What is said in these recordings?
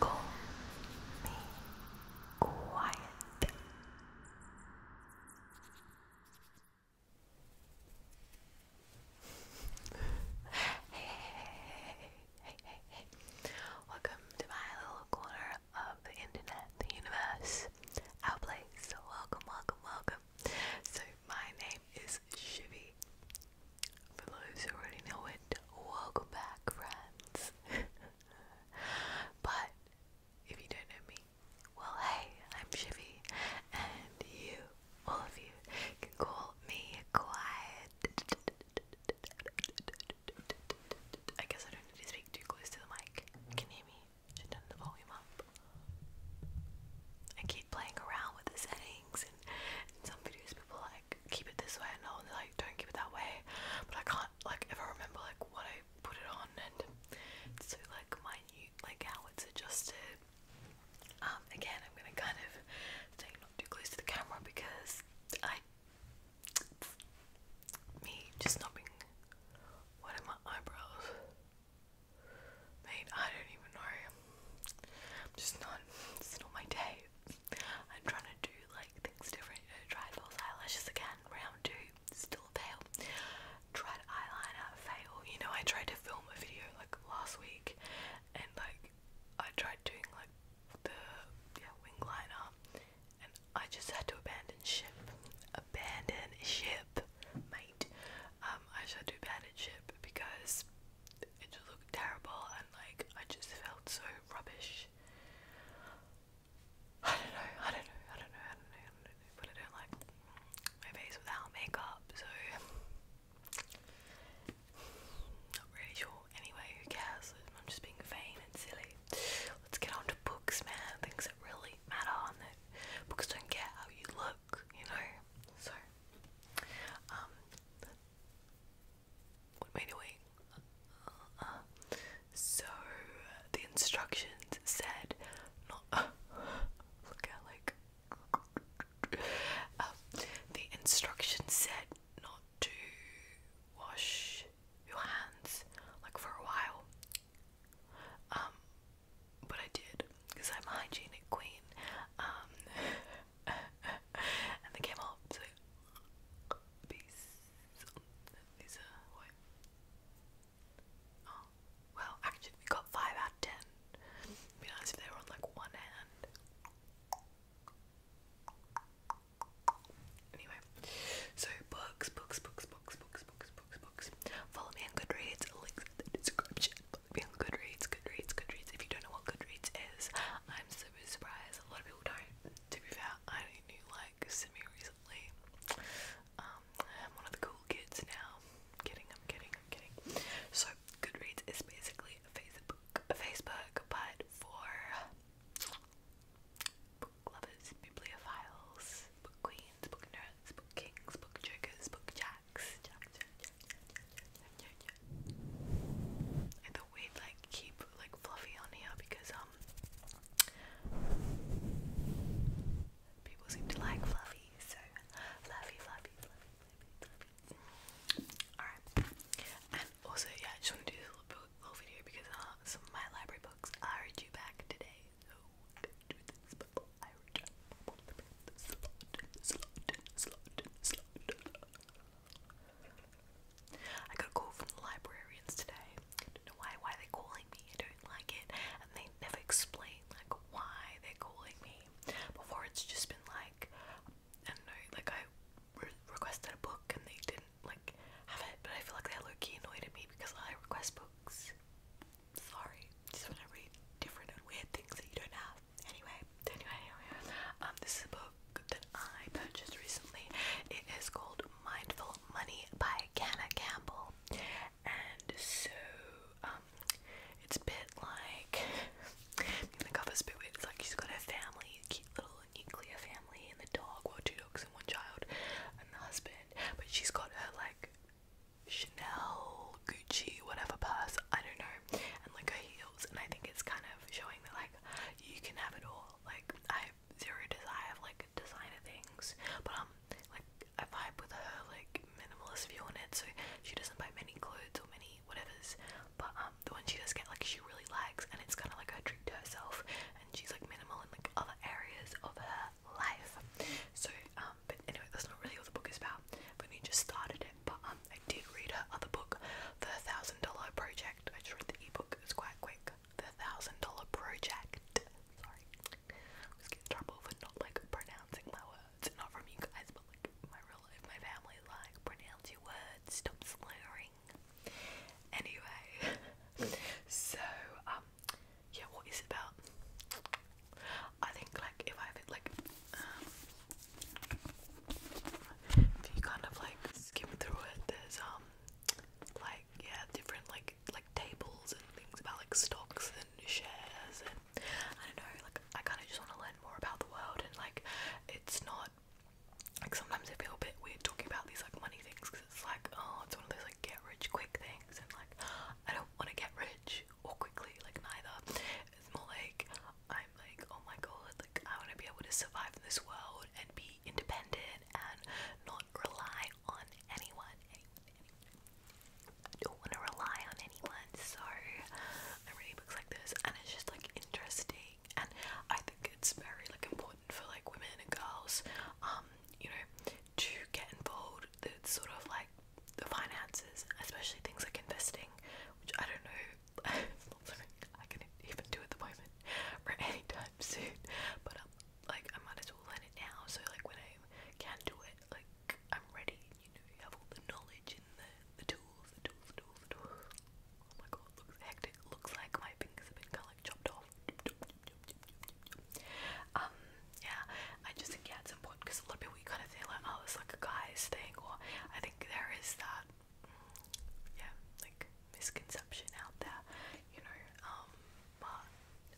Call me quiet. hey, hey, hey, hey, hey, Welcome to my little corner of the internet, the universe, our place. So welcome, welcome, welcome. So my name is Shivy. For those who already know it, welcome back, friends. but if you don't know me, well, hey, I'm Shivy, and you, all of you, can call me Quiet. I guess I don't need to speak too close to the mic. Can hear me? turn the volume up. I keep playing around with the setting some videos people like keep it this way and all like don't keep it that way but I can't like ever remember like what I put it on and so like minute like how it's adjusted. Um, again I'm gonna kind of stay not too close to the camera because I me just not being what my eyebrows? Mate, I don't even know. I'm just not, it's not my day. I'm trying to do like things different. You know, tried false eyelashes again, round two, still a fail. Tried eyeliner, fail. You know, I tried to film a video like last week and like I tried doing like the yeah, wing liner and I just had to abandon ship. Abandon ship, mate. Um, I just had to abandon ship because it just looked terrible and like I just felt so rubbish. I don't know, I don't know, I don't know, I don't know, but I don't like my face without makeup, so not really sure. Anyway, who cares? I'm just being vain and silly. Let's get on to books, man. Things that really matter and that books don't care how you look, you know? So what am I doing? So the instructions said, not uh, the instructions said not to wash your hands like for a while. Um, but I did because I'm a hygienic queen. Um, and they came up to peace. These are what? Oh, well, actually, we got five out of ten. It'd be nice if they were on like one hand. Anyway, so books, books, books, books, books, books, books, books. Follow me on Goodreads. Links in the description be on Goodreads, Goodreads, Goodreads. If you don't know what Goodreads is, I'm super surprised. A lot of people don't. To be fair, I only knew like semi recently. Um, I'm one of the cool kids now. I'm kidding, I'm kidding, I'm kidding. So Goodreads is basically a Facebook, a Facebook, but for book lovers, bibliophiles, book queens, book nerds, book kings, book jokers, book jacks, jack, jack, I thought we'd like keep like fluffy on here because um people seem to like fluffy, so fluffy, fluffy, fluffy, fluffy, fluffy. Alright. And also yeah, just want to do this little, little video because uh, some of my library books are due back today. So do this before I return. I got a call from the librarians today. I don't know why why they're calling me. I don't like it, and they never explain like why they're calling me. Before it's just been like I don't know, like I requested a book and they didn't like have it, but I feel like they're low key annoyed at me because I request books. Sorry, just want to read different and weird things that you don't have. Anyway, anyway, anyway, um, this is a book that I purchased recently. It is called Mindful Money by Ganna Campbell, and so um, it's a bit like the cover's a bit weird. It's like she's got her family, cute little nuclear family, and the dog, well, two dogs and one child, and the husband. But she's got her like Chanel Gucci whatever purse, I don't know, and like her heels, and I think it's kind of showing that like you can have it all. Like I have zero desire of like designer things, but um, like I vibe with her like minimalist view on it, so she doesn't buy many clothes or many whatever's, but um, the one she does get like she really likes, and it's kind of like her treat to herself, and she's like minimal in like other areas of her life. So um, but anyway, that's not really what the book is about. But we just started it, but um, I did read her other book, The Thousand Dollar Project. I just read the ebook, it's quite quick. The Thousand Dollar Project. Sorry. I always get in trouble for not like pronouncing my words. Not from you guys, but like my real life, my family like pronounce your words, stop slurring. Anyway, so um yeah, what is it about? I think like if I have it like if you kind of like skim through it, there's um like yeah different like like tables and things about like stocks and shares and I don't know like I kind of just want to learn more about the world and like it's not like sometimes I feel a bit weird talking about these like money things because it's like oh it's one of those like get rich quick things and like I don't want to get rich or quickly like neither it's more like I i like, oh my god, like I want to be able to survive in this world and be independent and not rely on anyone. don't want to rely on anyone, so I'm reading books like this, and it's just like interesting, and I think it's very like important for like women and girls, um, you know, to get involved. That sort of like the finances, especially things like investing, which I don't know not something I can even do at the moment or anytime soon. But like I might as well learn it now, so like when I can do it, like I'm ready. You know, you have all the knowledge and the tools, the tools, the tools, the tools. Oh my god, looks hectic. Looks like my fingers have been kind of like chopped off. Um, yeah, I just think yeah, it's important because a lot of people kind of think like, oh, it's like a guy's thing, or I there is that, yeah, like misconception out there, you know. Um, but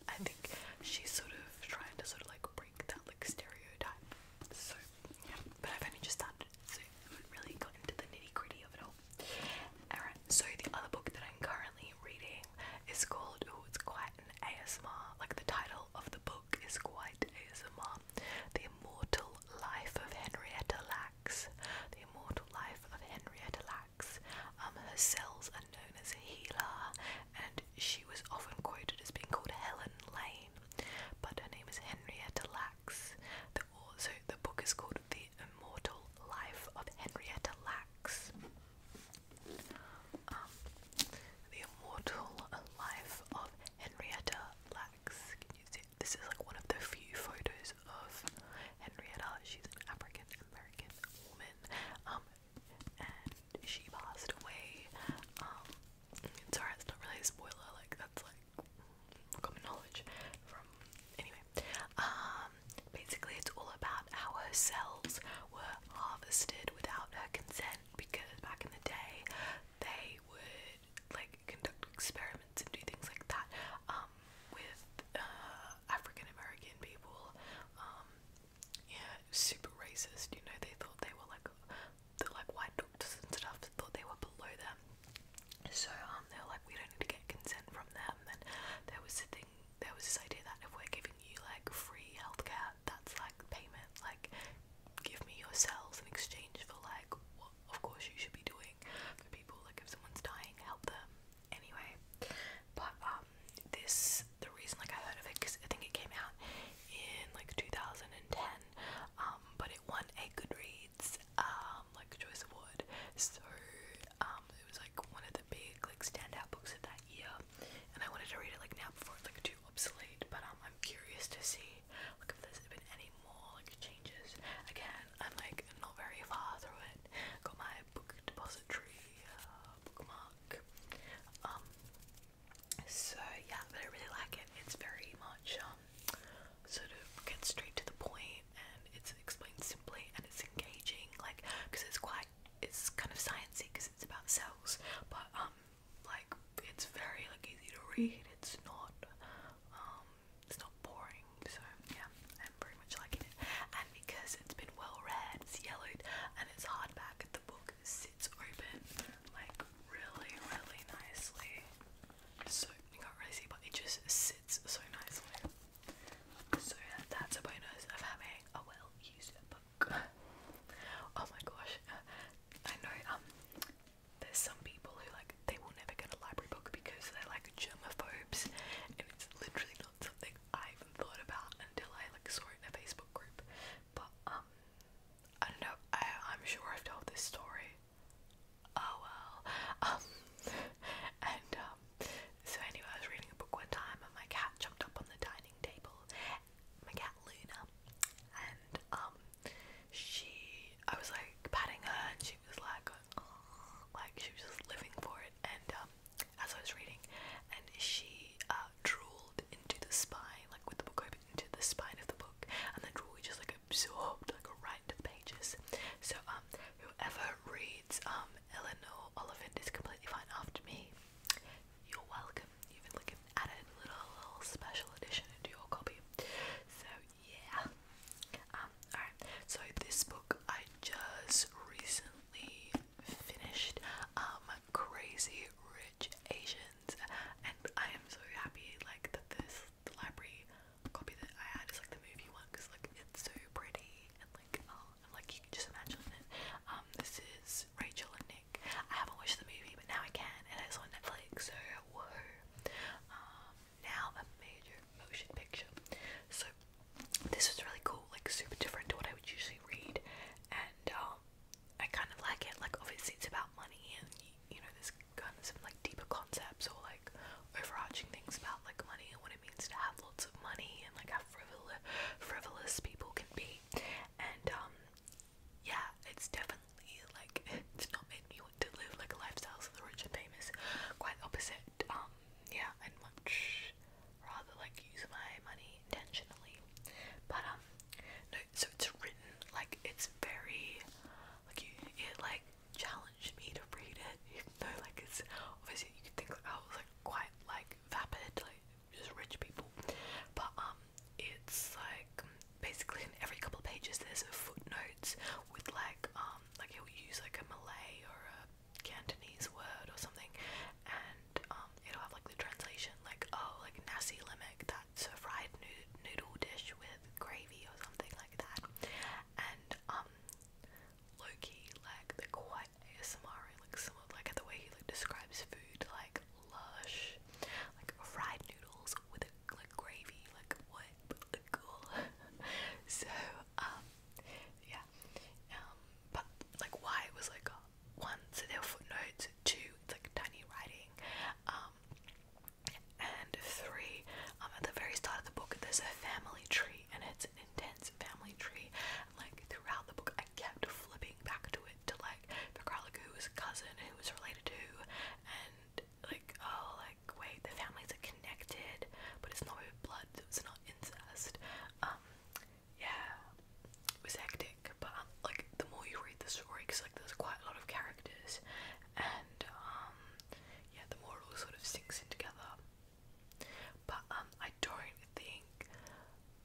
I think she's sort of trying to sort of like break that like stereotype. So, yeah. But I've only just started, so I haven't really got into the nitty gritty of it all. Alright, so the other book that I'm currently reading is called. Oh, it's quite an ASMR. Like the title of the book is quite ASMR. The Immortal Life of Henrietta Lacks. The Immortal Life of Henrietta Lacks. Um, her cells are known as HeLa, and she was often quoted as being called Helen Lane, but her name is Henrietta Lacks. The, so the book is called The Immortal Life of Henrietta Lacks. Um, the Immortal Life of Henrietta Lacks. This is like one of the few photos of Henrietta. She's an African American woman, um, and she passed away. Um, sorry, it's not really a spoiler. Like that's like common knowledge. From anyway, um, basically it's all about how her cells were harvested without her consent because back in the day they would like conduct experiments and do things like that um, with uh, African American people. Um, yeah, super racist. You know, they thought they were like the like white doctors and stuff thought they were below them. So um, they were like, we don't need to get consent from them. And there was a thing, there was this idea that if we're giving you like free healthcare, that's like payment. Like, give me your cells in exchange for like what of course you should be doing for people. Like if someone's dying, help them. Anyway, but um, this the reason like I heard of it because I think it came out in like 2010. Um, but it won a Goodreads um like choice award. So um, it was like one of the big like standout books of that year, and I wanted to read it like now before it's like too obsolete. But um, I'm curious to see Look if there's been any more changes. Again, I'm like not very far through it. Got my book depository uh, bookmark. Um, so yeah, but I really like it. It's very much um sort of get straight to the point, and it's explained simply, and it's engaging. Like because it's quite it's kind of sciencey because it's about cells, but um like it's very like easy to read. It's not um it's not boring. So yeah, I'm pretty much liking it. And because it's been well read, it's yellowed and it's hardback, the book sits open like really, really nicely. So you can't really see, but it just sits so nicely. So that's a bonus of having a well-used book. oh my gosh, I know. Um, there's some people who like they will never get a library book because they're like germaphobes and it's literally not something I even thought about until I like saw it in a Facebook group. But um I don't know, I I'm sure I've told this story. Oh well. Um and um so anyway I was reading a book one time and my cat jumped up on the dining table. My cat Luna and um she I was like patting her and she was like like she was just living for it and um as I was reading and she uh drooled into the spine like with the book open into the spine of the book and the drool just like absorbed like right into the pages so um whoever reads um Eleanor Oliphant is completely fine after me you're welcome you've been looking added little, little special edition into your copy. So yeah. Um, alright, so this book I just recently finished, um, Crazy Rich Asians, and I am so happy, like, that this library copy that I had is, like, the movie one, because, like, it's so pretty, and, like, oh, like, you can just imagine it. Um, this is Rachel and Nick. I haven't watched the movie, but now I can, and it's on Netflix, so, whoa. Um, now a major motion picture. So this was really cool, like super different to what I would usually read, and um, I kind of like it. Like obviously it's about money, and you know there's kind of some like deeper concepts or like overarching things about like money and what it means to have lots of money and like how frivolous frivolous people can be, and um, yeah, it's definitely like it's not made me want to live like lifestyles of the rich and famous. Quite opposite. Um, yeah, and much rather like use my money intentionally. But um, no. So it's written like it's very like you it like challenged me to read it, You know, like it's obviously you can think like oh, I was like quite like vapid, like just rich people. But um, it's like basically in every couple of pages there's footnotes with like um like he'll use like a Malay or a Cantonese word or something and um it'll have like the translation like oh like nasi lemek that's a fried noodle dish with gravy or something like that and um Loki like they're quite ASMR like some of like the way he like describes food like lush like fried noodles with a like gravy, like what, cool. so um, yeah, um, but like why it was like one, so there are footnotes. Two, it's like tiny writing. Um, and three, um, at the very start of the book, there's a family tree, and it's an intense family tree. And like throughout the book, I kept flipping back to it to like the out who was a cousin, who was related to, and like oh like wait the families are connected but it's not with blood it's not incest um yeah it was hectic but um, like the more you read the story because like there's quite a lot of characters and um yeah the more it all sort of sinks in together but um I don't think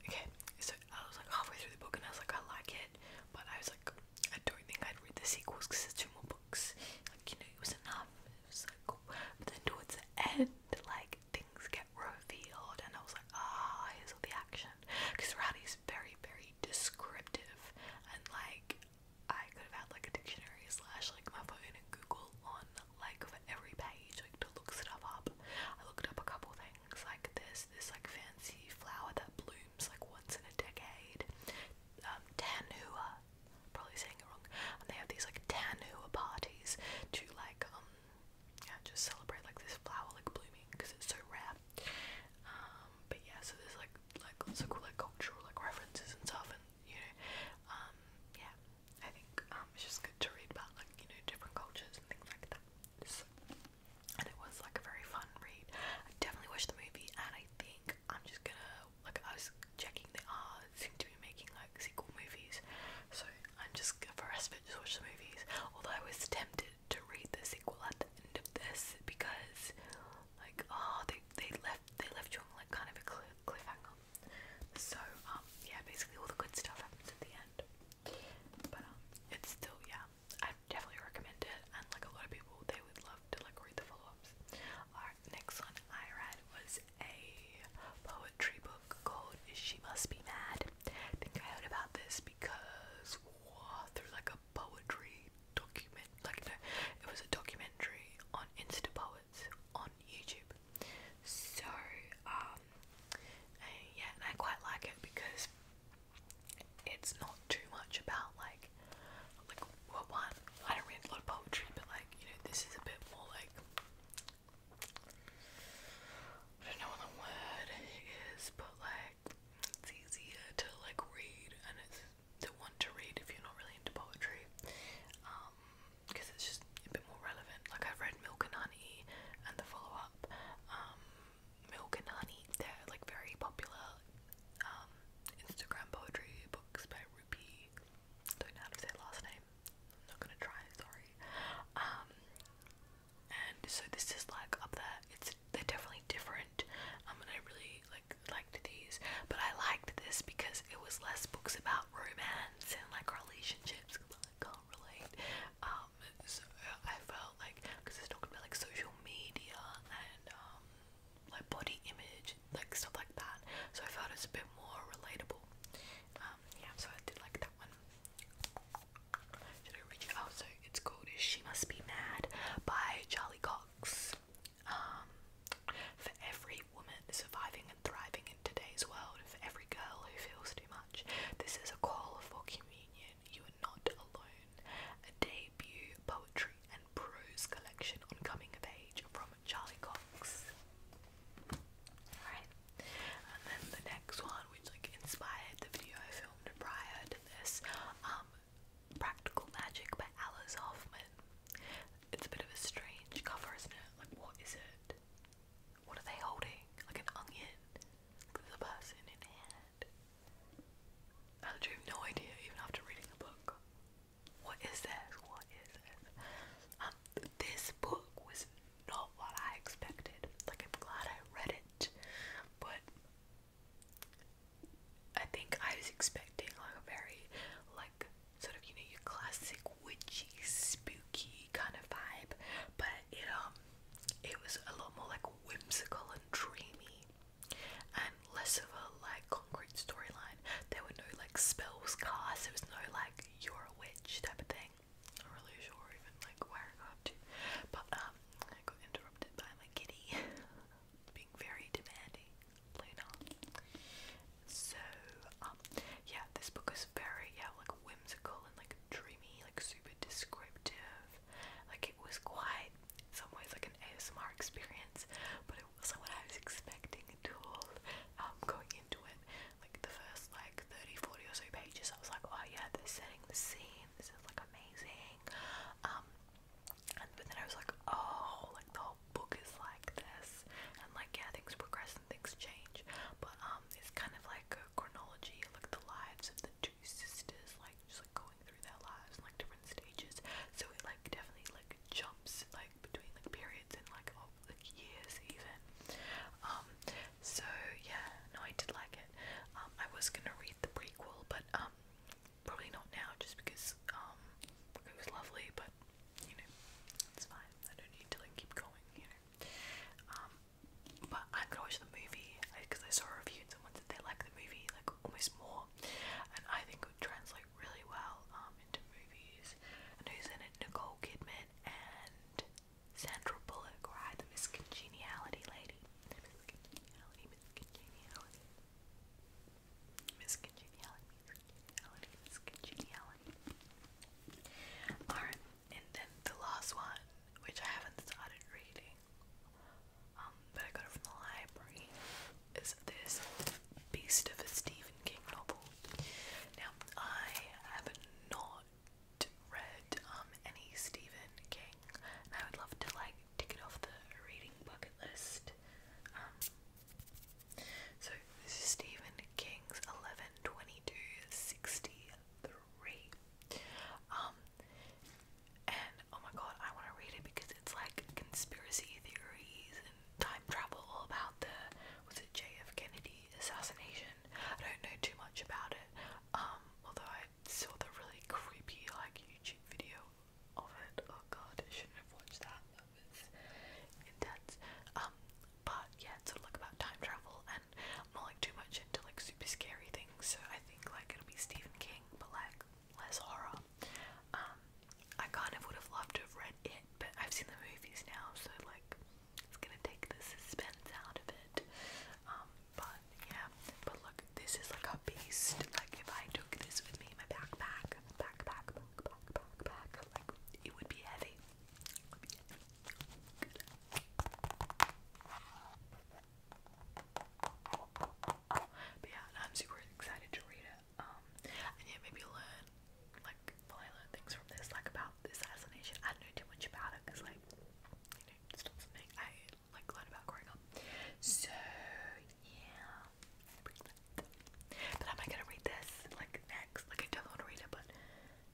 okay so I was like halfway through the book and I was like I like it but I was like I don't think I'd read the sequels because there's two more books. Like you know, it was enough. It was so But then towards the end, like things get revealed, and I was like, ah, oh, here's all the action. Because Rowdy's very, very descriptive, and like I could have had like a dictionary slash like my phone and Google on like for every page, like to look stuff up. I looked up a couple things. Like this, this like fancy flower that blooms blooms like once in a decade. Um, Tanhua, probably saying it wrong, and they have these like Tanhua parties to like um yeah, just celebrate like this flower like blooming because it's so rare. Um, but yeah, so there's like like lots of cool like cultural like references and stuff, and you know, um, yeah, I think um it's just good to read about like you know different cultures and things like that. So, and it was like a very fun read. I definitely watched the movie, and I think I'm just gonna like I was checking they are seem to be making like sequel movies, so I'm just for the rest of it just watch the movies. Although I was tempted to read the sequel at the end of this because like oh they they left they left you on like kind of a cliff cliffhanger. So um yeah basically all the good stuff happens at the end, but um it's still yeah I definitely recommend it and like a lot of people they would love to like read the follow-ups. Alright, next one I read was a poetry book called She Must Be Mad. think I heard about this because oh, through like a poetry document like no it was a documentary on Insta Poets on YouTube. So um and yeah and I quite like it because it's not too much about like like what one I don't read a lot of poetry but like you know this is a bit more like I don't know what the word is but like it's easier to like read and it's to want to read if you're not really into poetry because um, it's just a bit more relevant like I've read Milk and Honey and the follow up um, Milk and Honey they're like very popular um, Instagram poetry books by Rupi. Don't know how to say last name. I'm not gonna try. Sorry. Um, and so this is like up there. It's they're definitely different. Um, and I really like liked these, but I liked this because it was less books about romance and like relationships. Cause I can't relate. Um, so I felt like because it's talking about like social media and um like body image, like stuff like that. So I felt it's a bit more relatable. Um, yeah, so I did like that one. Should I read it? Oh, so it's called "She Must Be Mad" by Charlie Cox. Um, for every woman surviving and thriving in today's world, for every girl who feels too much, this is a call for communion. You are not alone. A debut poetry prose collection on coming of age from Charlie Cox. Alright, and then the next one, which like inspired the video I filmed prior to this, um, Practical Magic by Alice Hoffman. It's a bit of a strange cover, isn't it? Like, what is it? What are they holding? Like an onion? Like, a person in hand. I have no idea, even after reading the book. What is this? What is this? Um, this book was not what I expected. Like, I'm glad I read it, but I think I was expecting like a very, like, sort of, you know, classic witchy, spooky kind of vibe, but it um, it was a lot more like whimsical and dreamy and less of a like concrete storyline. There were no like spells cast, there was no like you're a witch type of thing. Not really sure even like where I got to. But um I got interrupted by my kitty being very demanding So um, yeah this book is very yeah like whimsical and like dreamy, like super descriptive. Like it was quite some ways like an ASMR experience, but it wasn't what I was expecting at all um, going into it. Like the first like 30, 40 or so pages, I was like, oh yeah, they're setting the scene, this is like amazing. Um, and but then I was like, oh, like the whole book is like this, and like yeah, things progress and things change, but um, it's kind of like a chronology, like the lives of the two sisters, like just like going through their lives like different stages. So it like definitely like jumps like between like periods and like of like years even. Um so yeah, no I did like it. Um, I was gonna read the prequel but um probably not now just because um it was lovely but you know it's fine. I don't need to like keep going, you know. Um but I'm gonna watch the movie because I, saw a review and someone said they like the movie like almost more, and I think think would translate really well um, into movies. And who's in it? Nicole Kidman and Sandra Bullock, right? The Miss Congeniality lady. Miss Congeniality, Miss Congeniality. Miss Congeniality, Miss Congeniality, Alright, and then the last one, which I haven't started reading, um, I got it from the library is this Beast of a Stephen King novel. Now, I have not read um, any Stephen King, and I would love to like tick it off the reading bucket list. Um, so, this is Stephen King's 112263. Um, and oh my god, I want to read it because it's like conspiracy theories and time travel all about the was it JF assassination. I don't know too much about it. Um, although I saw the really creepy like YouTube video of it. Oh god, I shouldn't have watched that. That was intense. Um, but yeah, it's sort like about time travel and I'm not like too much into like super scary things, so I think like it'll be Stephen King, but like less horror. Um, I kind of would have loved to read it, but I've seen the movies now, so like it's gonna take the suspense out of it. Um, but yeah, but look, this is like a beast. Like if I took this with me in my backpack, backpack, backpack, backpack, like it would be heavy. But yeah, I'm super excited to read it. Um, and yeah, maybe learn, like, learn things from this, like about the assassination. I don't know too much about it because, like, you know, it's I like learned about growing up. So yeah, but am I gonna read this like next? Like, I definitely want to read it, but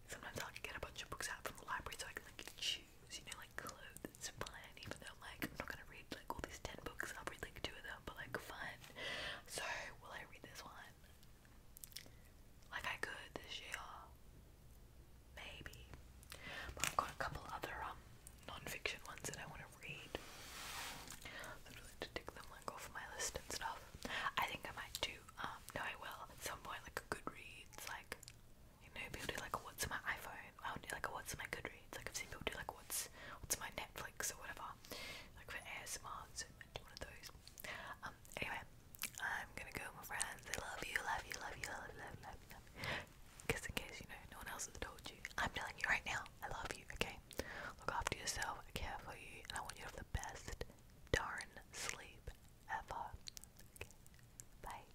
sometimes i get a bunch of books out from the library so I can like choose, you know, like clothes it's a even though like I'm not gonna read like all these ten books, I'll read like two of them, but like fun. So will I read this one? Like I could this year. Maybe. But I've got a couple other um ones that I want to read. I'd really to tick them like off my list and stuff. I think I might do um, no I will at some point like a Goodreads like you know people do like what's in my iPhone. I would do like what's in my Goodreads reads. Like I've seen people do like what's what's my Netflix or whatever. Like for ASMR, so I do one of those. Um anyway, I'm gonna go my friends. I love you, love you, love you, love you, love you, love you, Because in case you know no one else has told you, I'm telling you right now, I love you, okay? Look after yourself, I care for you, and I want you to have the best darn sleep ever. Bye.